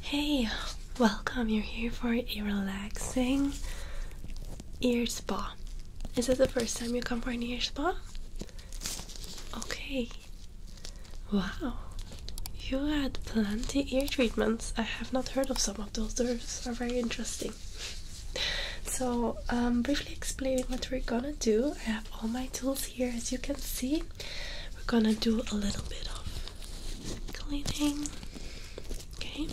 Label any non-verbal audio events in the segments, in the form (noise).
Hey, welcome. You're here for a relaxing ear spa. Is this the first time you come for an ear spa? Okay. Wow. You had plenty ear treatments. I have not heard of some of those. Those are very interesting. So, I'm um, briefly explaining what we're gonna do. I have all my tools here, as you can see we're gonna do a little bit of cleaning. Okay,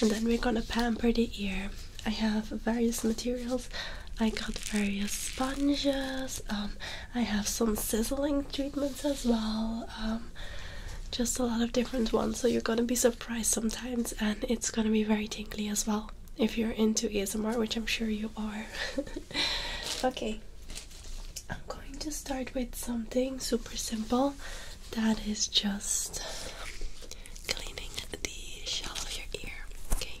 and then we're gonna pamper the ear. I have various materials. I got various sponges. Um, I have some sizzling treatments as well. Um, just a lot of different ones. So you're gonna be surprised sometimes, and it's gonna be very tinkly as well if you're into ASMR, which I'm sure you are. (laughs) okay, I'm going to start with something super simple that is just cleaning the shell of your ear, okay?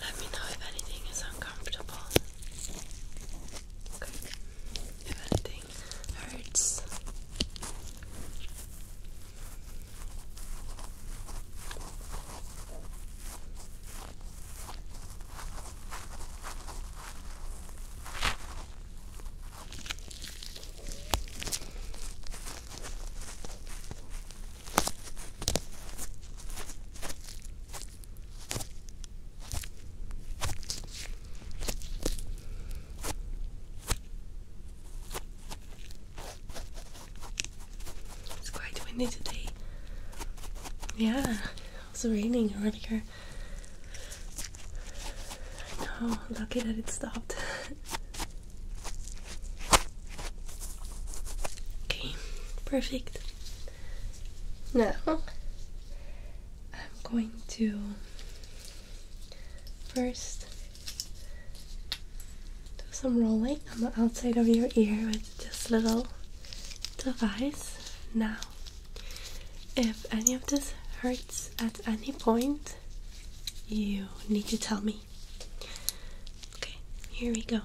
Let me know if anything is uncomfortable. If anything hurts. It's quite windy today. Yeah, it's raining earlier. I oh, lucky that it stopped. okay, perfect. Now I'm going to first do some rolling on the outside of your ear with this little device now. If any of this hurts at any point, you need to tell me. Okay, here we go.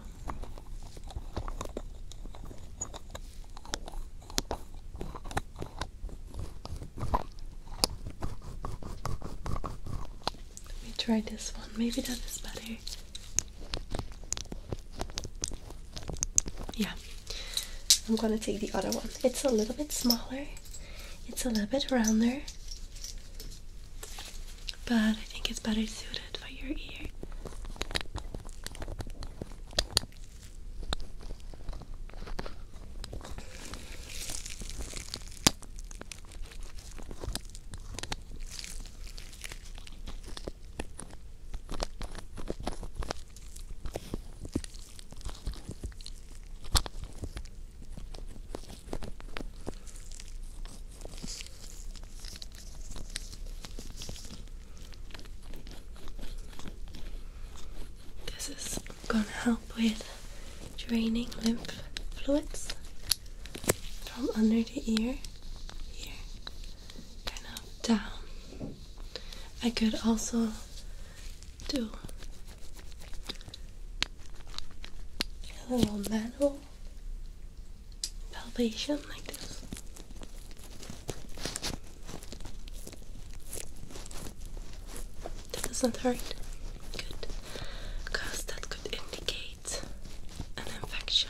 Let me try this one. Maybe that is better. Yeah, I'm gonna take the other one. It's a little bit smaller, it's a little bit rounder, but I think it's better suited for your ear. This is going to help with draining lymph fluids from under the ear here, kind of down I could also do a little manual elevation like this. That doesn't hurt. Good. Because that could indicate an infection.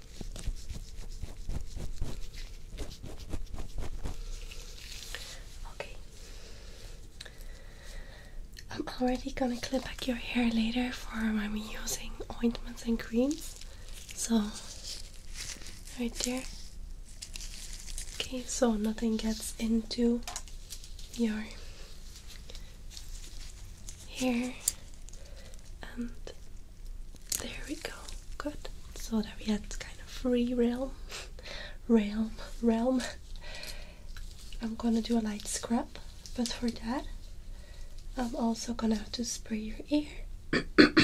Okay. I'm already gonna clip back your hair later for I'm using ointments and creams. So right there. Okay, so nothing gets into your here and there we go good so that we had kind of free realm (laughs) realm realm I'm gonna do a light scrub but for that I'm also gonna have to spray your ear (coughs) before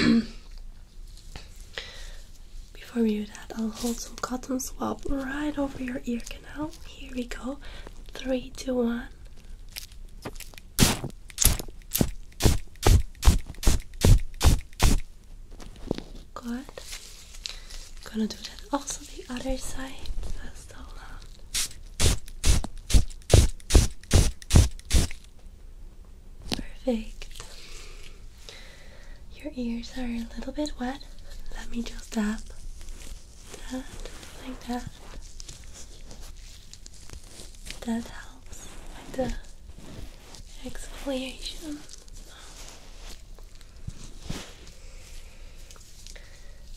we do that I'll hold some cotton swab right over your ear canal here we go three two one Good. Gonna do that also the other side. so loud. Perfect. Your ears are a little bit wet. Let me just tap that like that that helps with the exfoliation.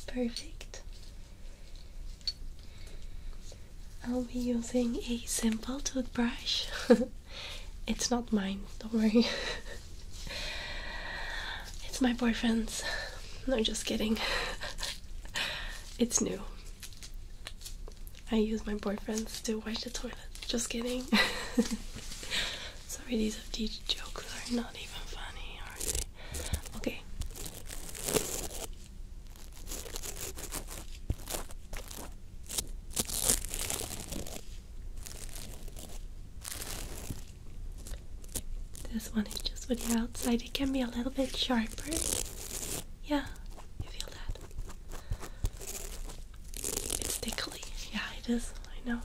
Perfect. I'll be using a simple toothbrush. (laughs) it's not mine, don't worry. (laughs) it's my boyfriend's. No, just kidding. (laughs) it's new. I use my boyfriends to wash the toilet. Just kidding. (laughs) Sorry, these these jokes are not even funny, are they? Okay. This one is just with the outside. It can be a little bit sharper. Yeah, you feel that? It's tickly. Yeah, it is. I know.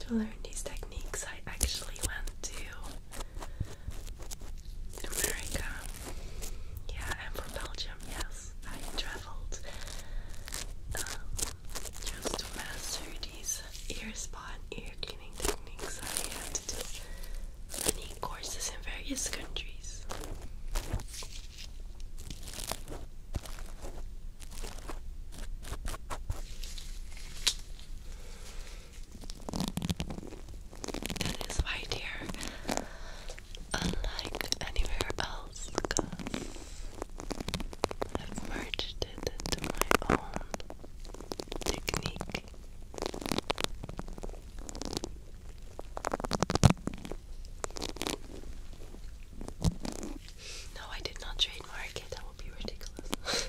To learn these techniques, I actually went to America. Yeah, I'm Belgium, yes. I traveled. Um, just master these ear spot ear cleaning techniques. I had to do courses in various countries. That is why, here, unlike anywhere else, I've merged it into my own technique. No, I did not trademark it, that would be ridiculous.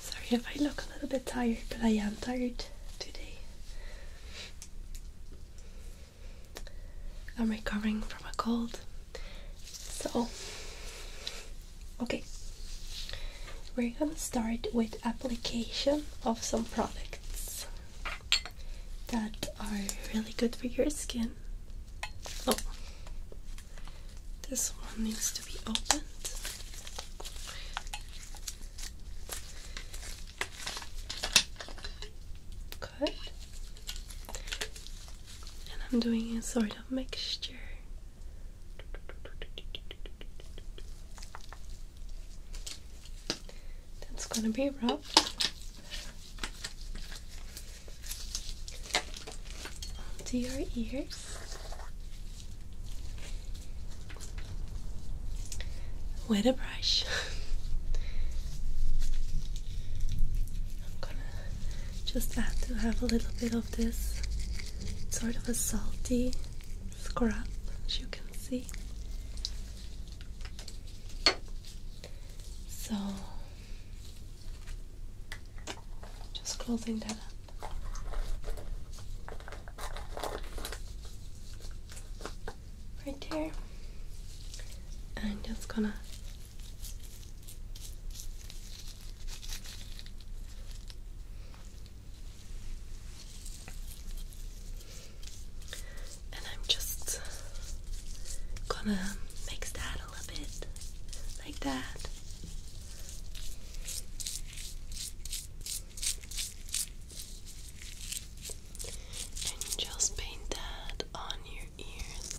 Sorry if I look a little bit tired, but I am tired today. I'm recovering from a cold. So, okay, we're gonna start with application of some products that are really good for your skin. Oh, this one needs to be opened. Good. And I'm doing a sort of mixture. That's gonna be rough. To your ears. With a brush. (laughs) just add to have a little bit of this sort of a salty scrub, as you can see. So, just closing that up. right there. and am just gonna and I'm just gonna mix that a little bit like that. And just paint that on your ears.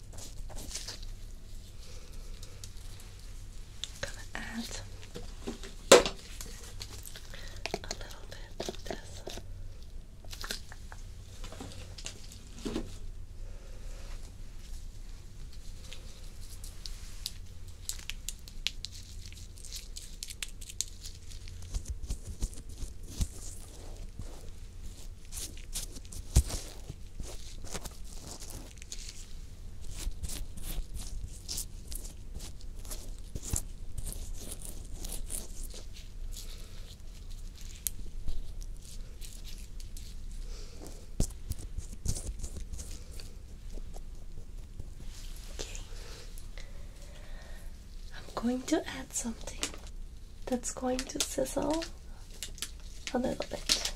gonna add a little bit of this. Okay. I'm going to add something that's going to sizzle a little bit.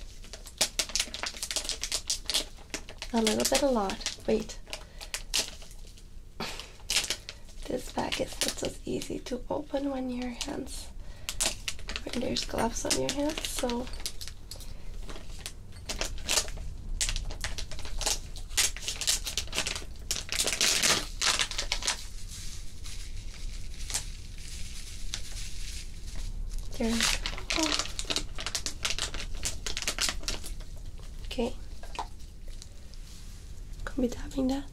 A little bit, a lot. Wait. (sighs) This bag is not as easy to open when your hands, when there's gloves on your hands, so there oh. Okay. Can be tapping that.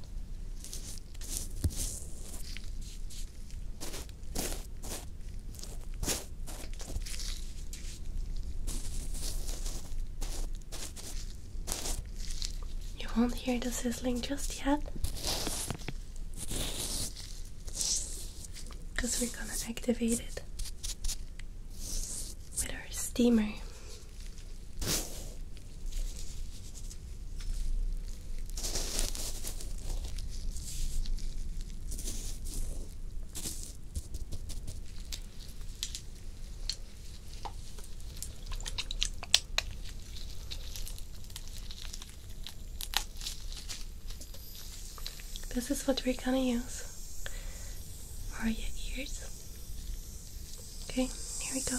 You won't hear the sizzling just yet because we're gonna activate it with our steamer. This is what we're gonna use for your ears. Okay, here we go.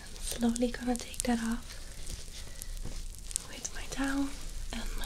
I'm slowly gonna take that off with my towel and my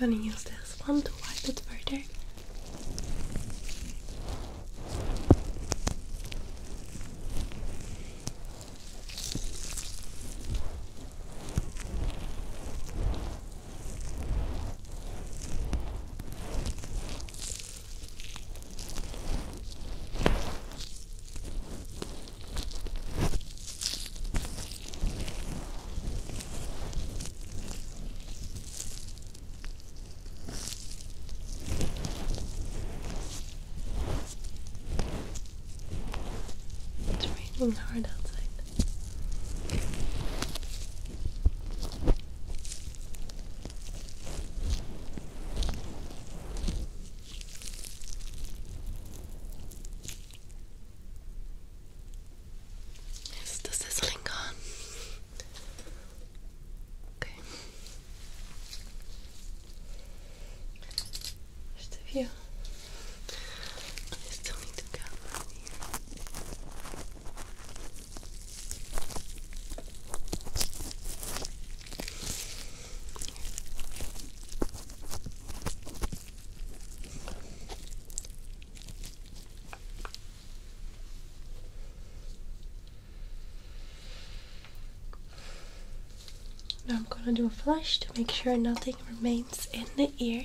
I'm gonna use this one to wipe it further. It's raining hard outside is the sizzling gone? Okay. Just a few. I still need to go. Now I'm going to do a flush to make sure nothing remains in the ear.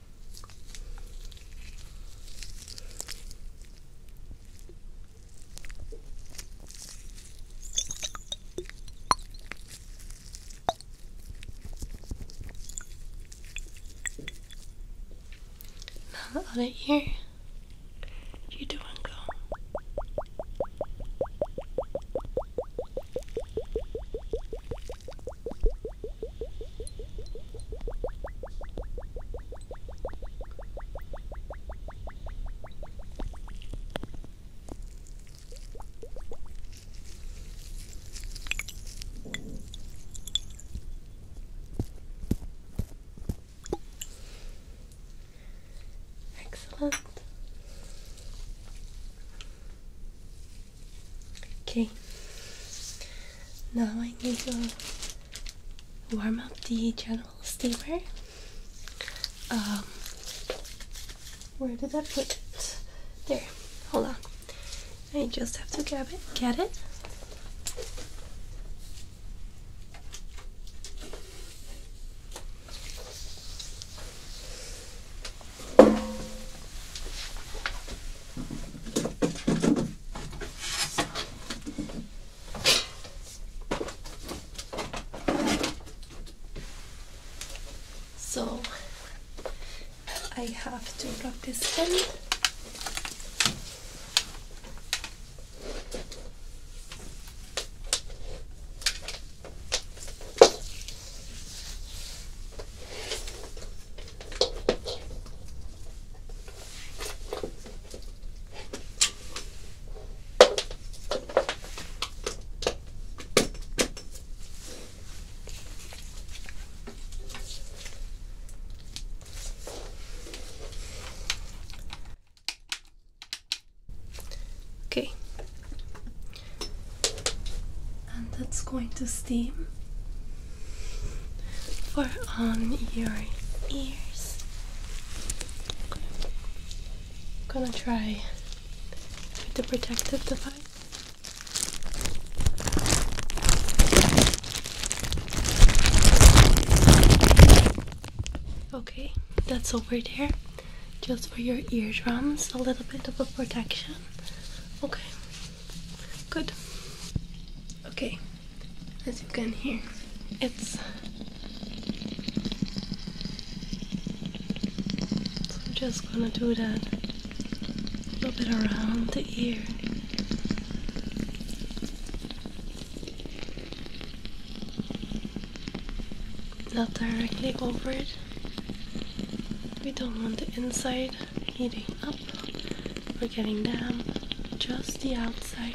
Not the other ear, you doing go. Excellent. Okay. Now I need to warm up the general steamer. Um, where did I put it? There. Hold on. I just have to grab it. Get it. So I have to practice. this Okay, and that's going to steam for on your ears. I'm gonna try with the protective device. Okay, that's over there. Just for your eardrums, a little bit of a protection. Okay, Good. Okay, as you can hear, it's so I'm just gonna do that a little bit around the ear. Not directly over it. We don't want the inside heating up we're getting down just the outside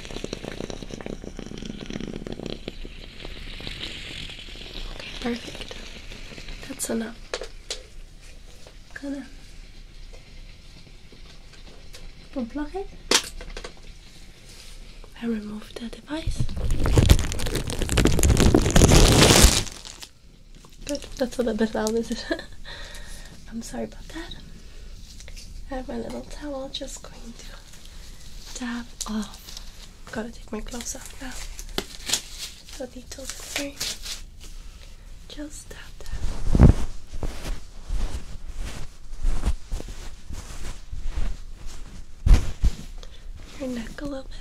perfect. That's enough. Gonna unplug it and remove the device. Good, that's a little bit loud, is (laughs) I'm sorry about that. I have my little towel just going to dab off. Gotta take my gloves off now. So they Just dab that. Your neck a little bit.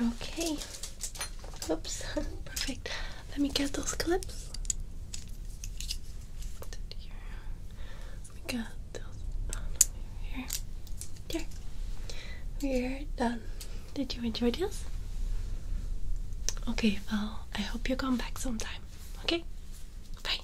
Okay. Oops. (laughs) Perfect. Let me get those clips. We got those here. There. We're done. Did you enjoy this? Okay, well, I hope you come back sometime. Okay? Bye.